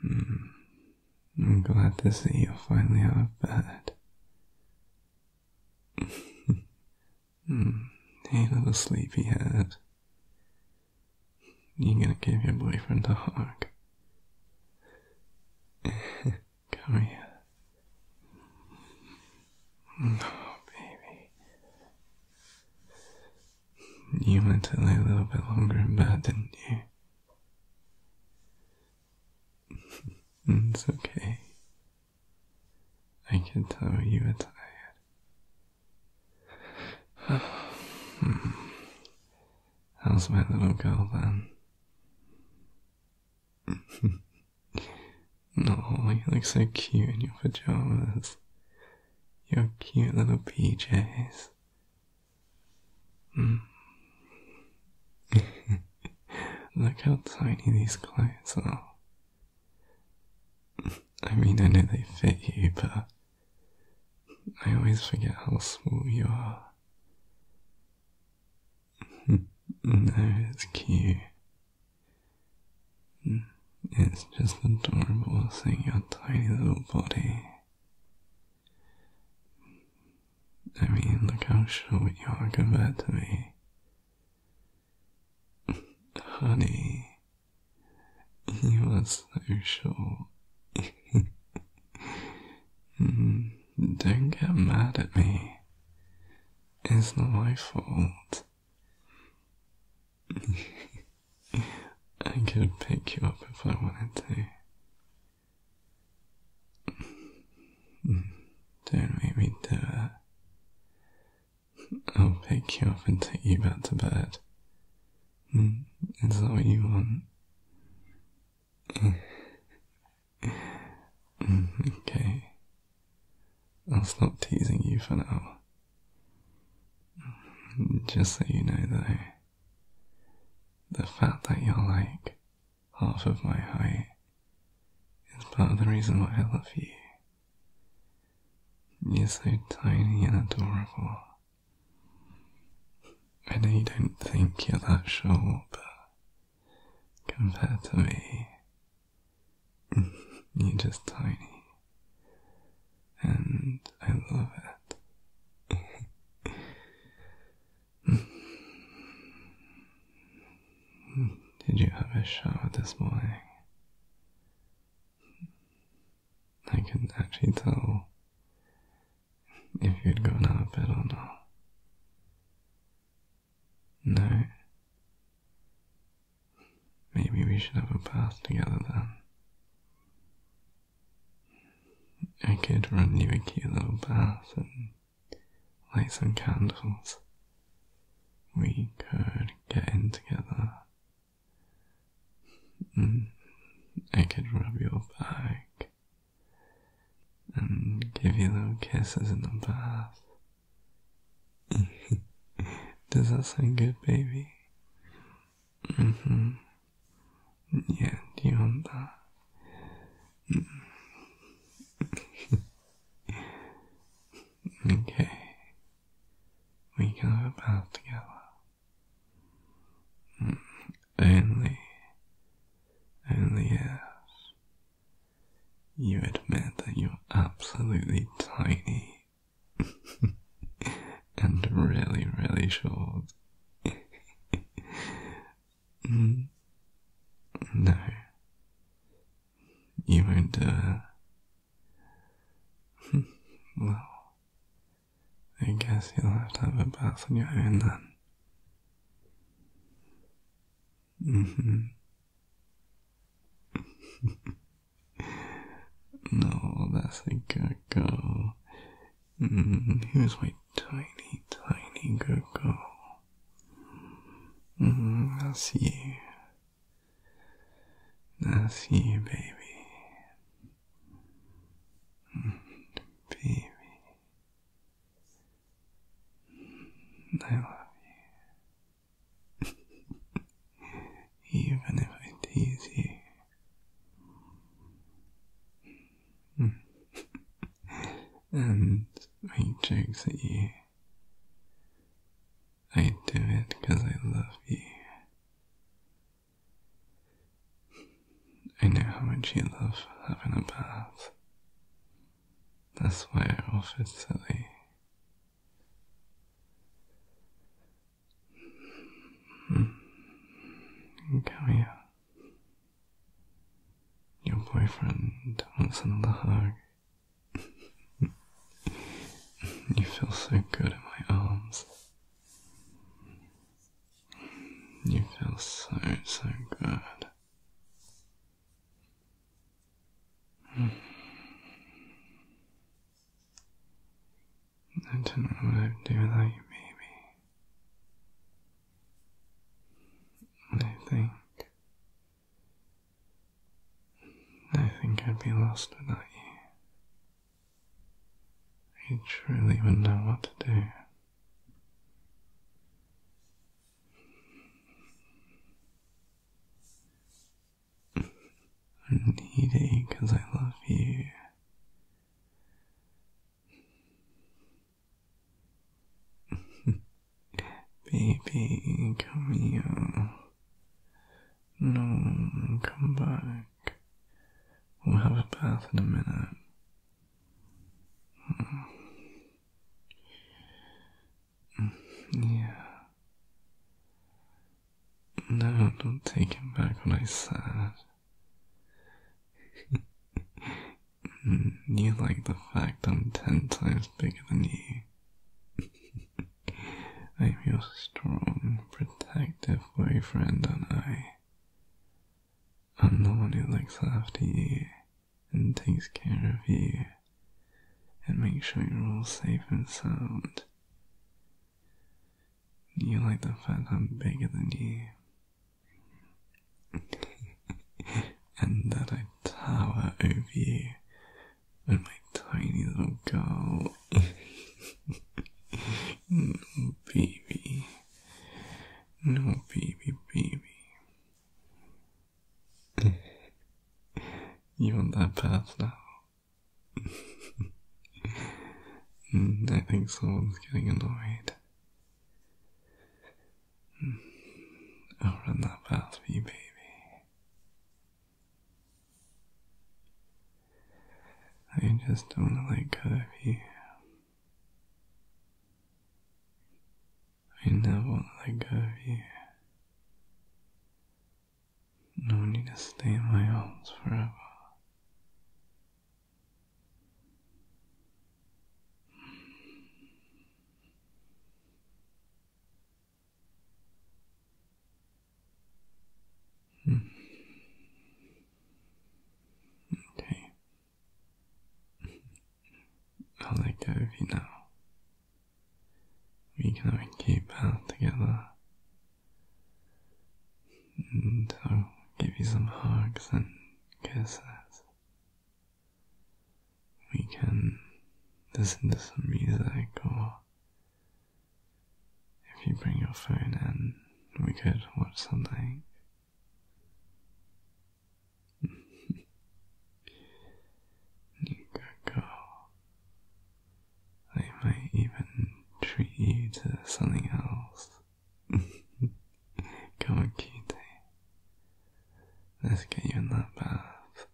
Hmm. I'm glad to see you finally out of bed. mm. Hey, little sleepyhead. You gonna give your boyfriend a hug? Come here. No, oh, baby. You meant to lay a little bit longer in bed, didn't you? it's okay. I can tell you were tired. How's my little girl then? No, you look so cute in your pajamas. Your cute little PJs. Hmm. look how tiny these clothes are. I mean, I know they fit you, but I always forget how small you are. no, it's cute. It's just adorable seeing your tiny little body. I mean, look how short you are compared to me. Honey, you are so short. Mm, don't get mad at me. It's not my fault. I could pick you up if I wanted to. Don't make me do it. I'll pick you up and take you back to bed. Hmm, is that what you want? Hmm, okay. I'll stop teasing you for now. Just so you know, though, the fact that you're like half of my height is part of the reason why I love you. You're so tiny and adorable. I know you don't think you're that short, but compared to me, You're just tiny. And I love it. Did you have a shower this morning? I can actually tell if you'd gone out of bed or not. No? Maybe we should have a bath together then. I could run you a cute little bath and light some candles. We could get in together. Mm. I could rub your back and give you little kisses in the bath. Does that sound good, baby? Mm-hmm. Yeah, do you want that? Mm-hmm. okay. We can have a bath together. Mm, only, only if you admit that you're absolutely tiny and really, really short. Mm. no, you won't uh, well, I guess you'll have to have a bath on your own then. hmm no, that's a gurgle. Mm, mm-hmm. here's my tiny, tiny gurgle. Mm, mm-hmm. that's you. That's you, baby. Mm-hmm. baby. I love you. Even if hmm. I tease you and make jokes at you, I do it because I love you. I know how much you love having a bath. That's why I offered Sally Gaia. Hmm. Oh, Your boyfriend wants another hug. you feel so good in my arms. You feel so, so good. Hmm. I don't know what I'd do without you, baby. I think. I think I'd be lost without you. I truly wouldn't know what to do. I need it because I love you. Baby, come here. No, come back. We'll have a bath in a minute. Mm, yeah. No, don't take it back what I said. Mm, you like the fact I'm ten times bigger than you. I'm your strong, protective boyfriend, and I. I'm the one who looks after you and takes care of you and make sure you're all safe and sound. You like the fact I'm bigger than you, and that I tower over you with my tiny little girl. baby. No, baby, baby. you want that bath now? Mm, I think someone's getting annoyed. I'll mm. oh, run that past you, baby. I just don't let go of you. I never let go of you. No need to stay in my arms forever. Hmm. Okay. I'll let go you now we can keep out together. And I'll give you some hugs and kisses. We can listen to some music, or if you bring your phone in, we could watch something. you good girl. I might even treat you to something else. Come on, cutie. Let's get you in that bath.